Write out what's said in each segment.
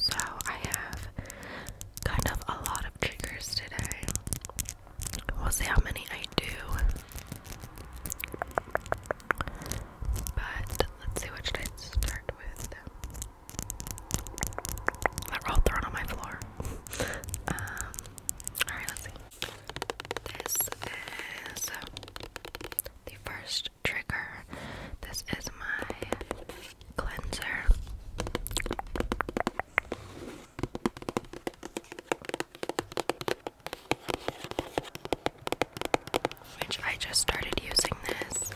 So I have kind of a lot of triggers today. We'll see how many I do. But let's see what should I start with. They're all thrown on my floor. um, alright, let's see. This is the first trigger. This is my cleanser. Which I just started using this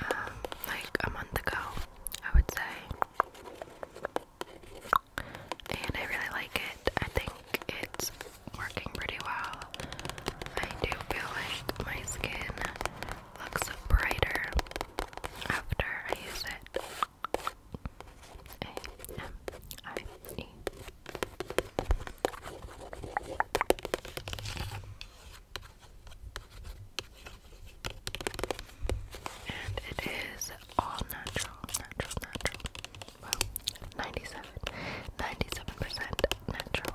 um, like a month ago, I would say. And I really like it. I think it's working pretty well. I do feel like my skin looks brighter after I use it. A M I E. And it is all natural, natural, natural. Well, 97, 97% natural.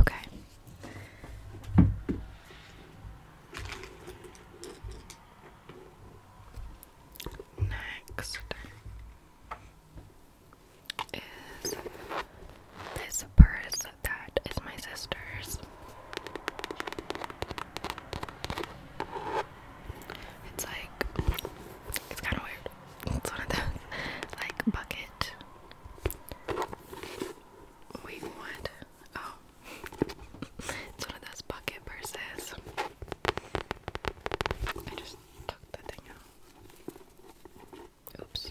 Okay. Next is this purse that is my sister's. It's like it's kind of weird. It's one of those like bucket we want. Oh, it's one of those bucket purses. I just took the thing out. Oops.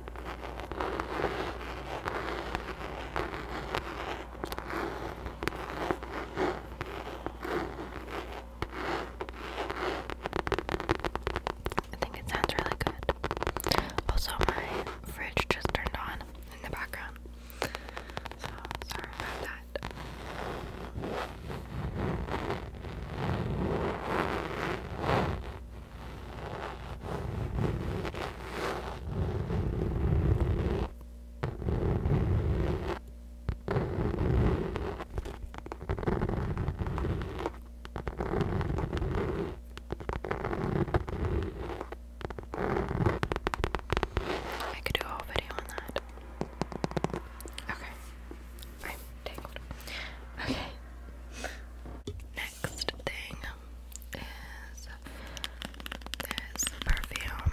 I think it sounds really good. Also, my fridge just turned on in the background. So, sorry about that. I could do a whole video on that. Okay. I'm tangled. Okay next thing is this perfume.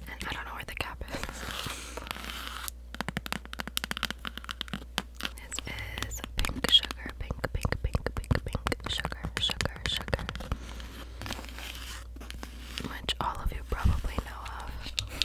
And I don't know where the cap is. This pink sugar, pink, pink, pink, pink, pink, sugar, sugar, sugar. Which all of you probably know of.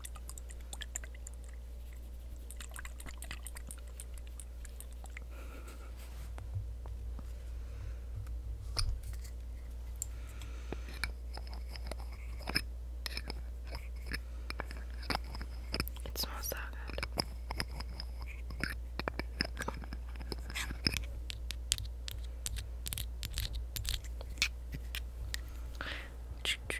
It smells so good. Ch -ch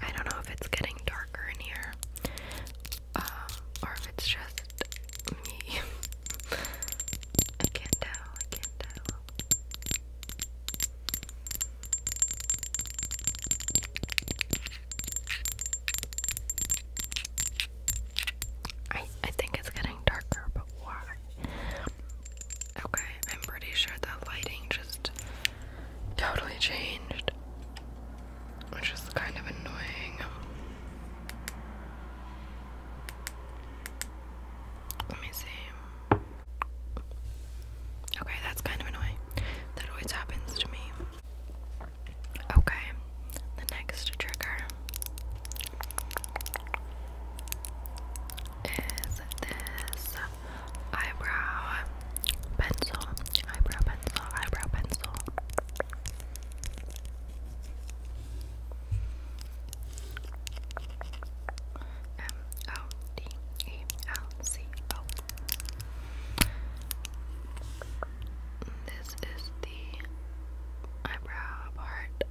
I don't know if it's getting darker in here, um, or if it's just me. I can't tell. I can't tell. I I think it's getting darker, but why? Okay, I'm pretty sure that lighting just totally changed, which is kind of annoying. Let me see. Okay, that's kind of annoying. That always happens to me. Okay, the next trigger is this eyebrow pencil, eyebrow pencil, eyebrow pencil. M O D E L C O. This is the eyebrow part.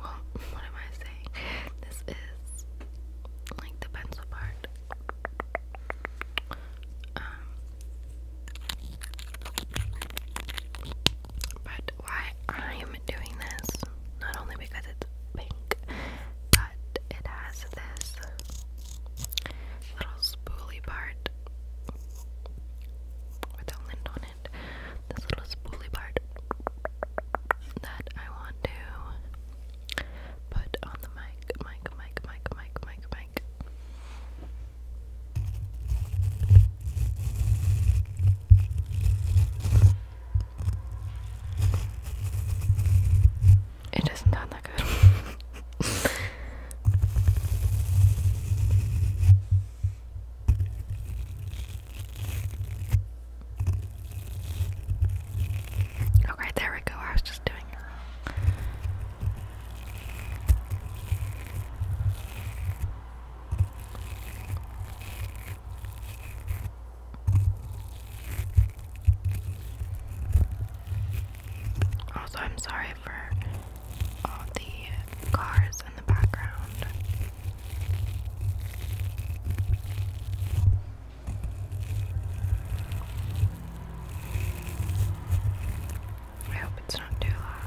Well, what am I saying? This is like the pencil part. Um, but why I'm doing this, not only because it's pink, but it has this little spoolie part with lint on it. This little spoolie part that I want to put on the mic, mic, mic, mic, mic, mic, mic. It doesn't sound that good. Okay, there we go. I was just doing it Also, I'm sorry for all the cars in the background. I hope it's not too loud.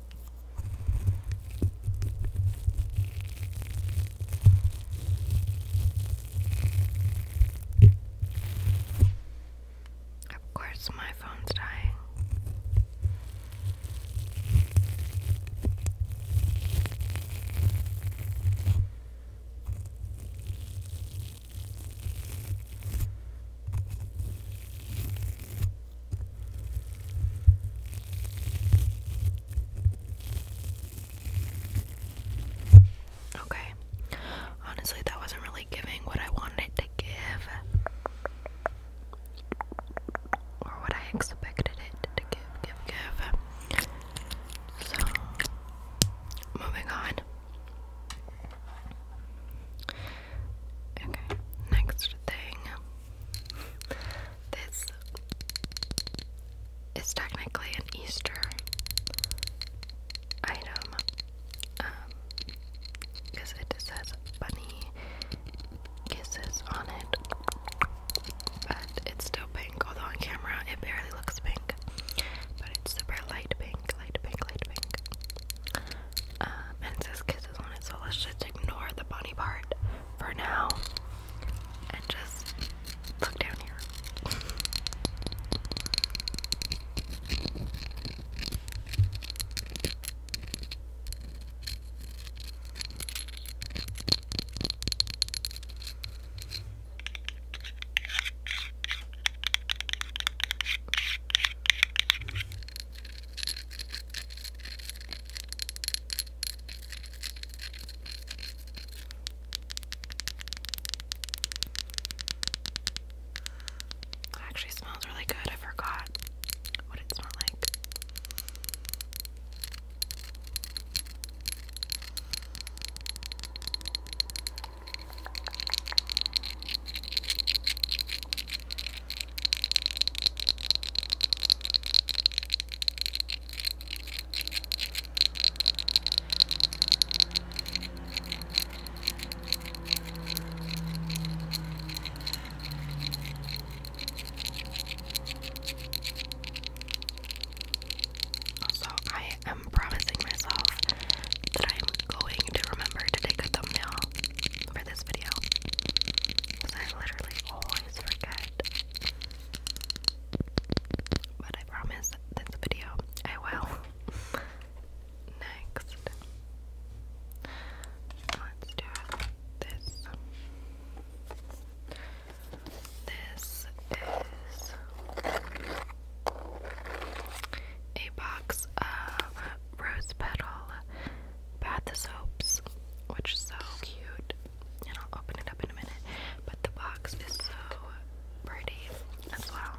Of course, my phone's dying. Okay. Honestly, that wasn't really giving what I wanted to give. Or what I expected it to give, give, give. So, moving on. Okay, next thing. This is technically an Easter item because um, it says bunny kisses on it, but it's still pink, although on camera it barely looks pink, but it's super light pink, light pink, light pink. Um, and says kisses on it, so let's just ignore the bunny part for now and just look down here. It actually smells really good. I forgot what it smelled like. Also, I am promising myself that I'm going to remember to take a thumbnail for this video. Because I literally always oh but I promise this video I will. Next, let's do this. This is a box of rose petal bath soaps, which is so cute. And I'll open it up in a minute. But the box is so pretty as well.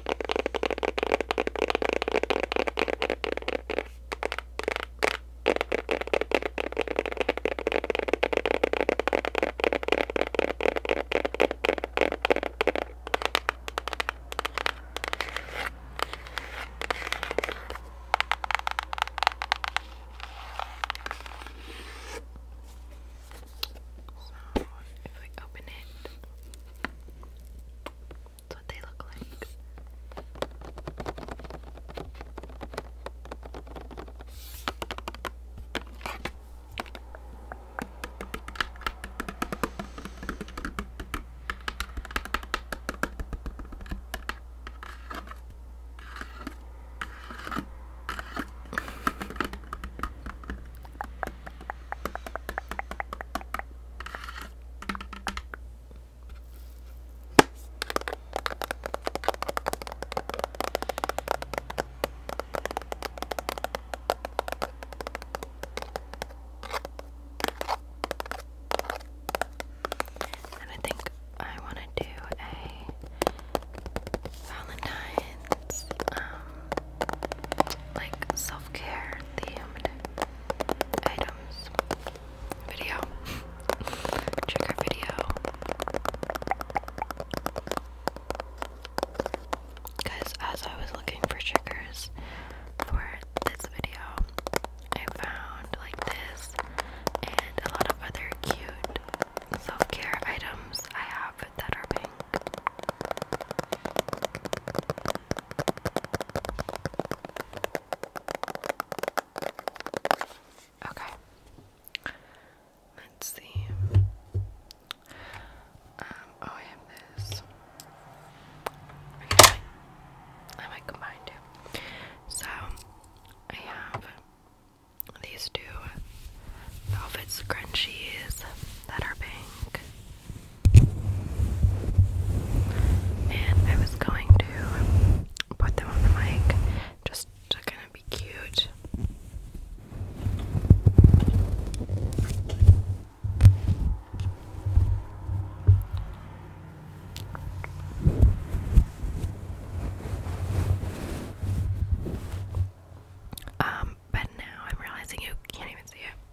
So, if we open it, that's what they look like. And I think I want to do a Valentine's um like self-care themed items video. Check video. Because as I was looking for triggers for this video, I found like this and a lot of other cute self care items I have that are pink. Okay. Let's see. Um, oh, I have this. I might combine two. So, I have these two velvet scrunchies that are pink. And I was going to put them on the mic just to be cute. Um, but now I'm realizing you can't even see it.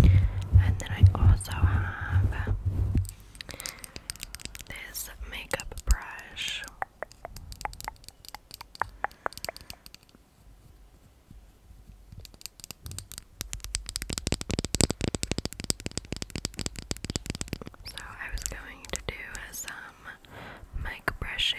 And then I also have this makeup brush. So I was going to do some mic brushing.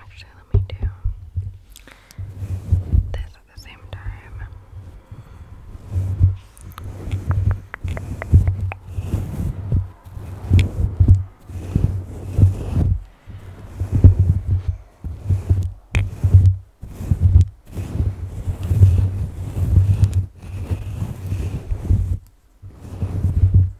Actually, let me do this at the same time.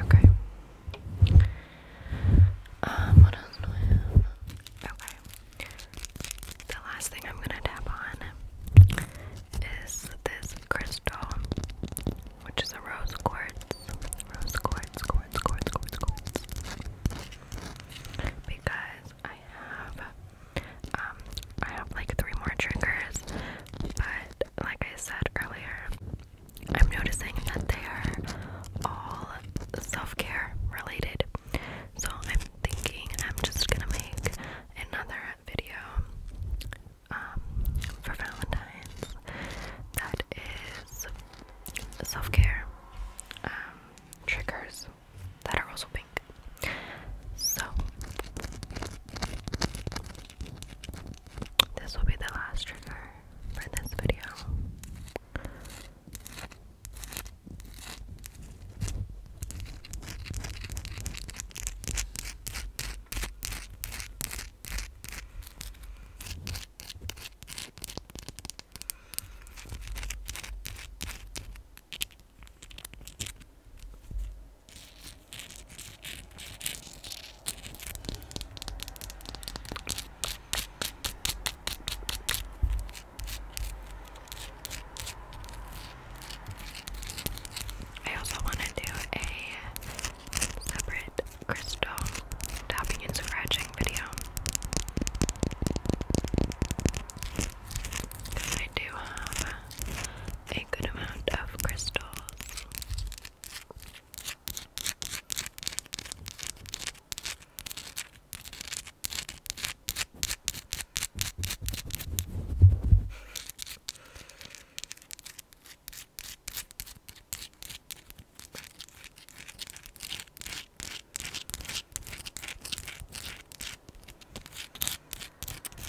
Okay. Um, what else Okay. The last thing I'm gonna tap on is this crystal, which is a rose quartz. Rose quartz, quartz, quartz, quartz, quartz. Because I have um I have like three more triggers, but like I said earlier, I'm noticing that they are all self care related. So I'm thinking I'm just gonna make another video um, for Valentine's that is self care um, triggers that are also pink. So this will be the last trigger for this video. I also want to do a separate crystal tapping and scratching video I do have a good amount of crystals.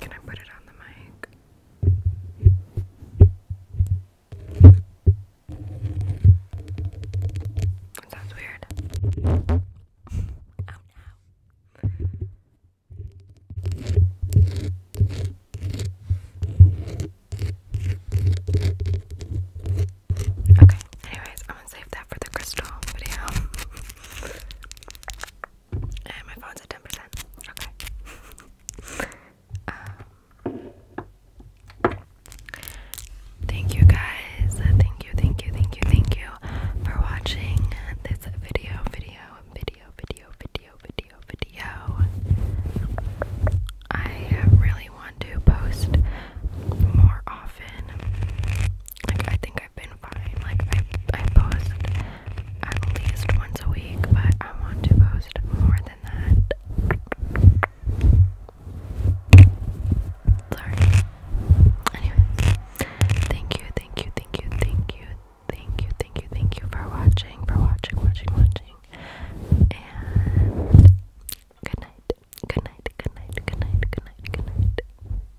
Can I put it on the mic? sounds weird. Oh, okay, anyways, I'm gonna save that for the crystal video. And my phone's at 10%. Okay. Um, thank you guys. Thank you, thank you, thank you, thank you for watching this video, video, video, video, video, video, video. I really want to post more often. Like I think I've been fine. Like I I post at least once a week, but I want to post more than that. Sorry. Anyways, thank you, thank you, thank you, thank you, thank you, thank you, thank you for watching, for watching, watching, watching. And good night. Good night. Good night. Good night. Good night. Good night.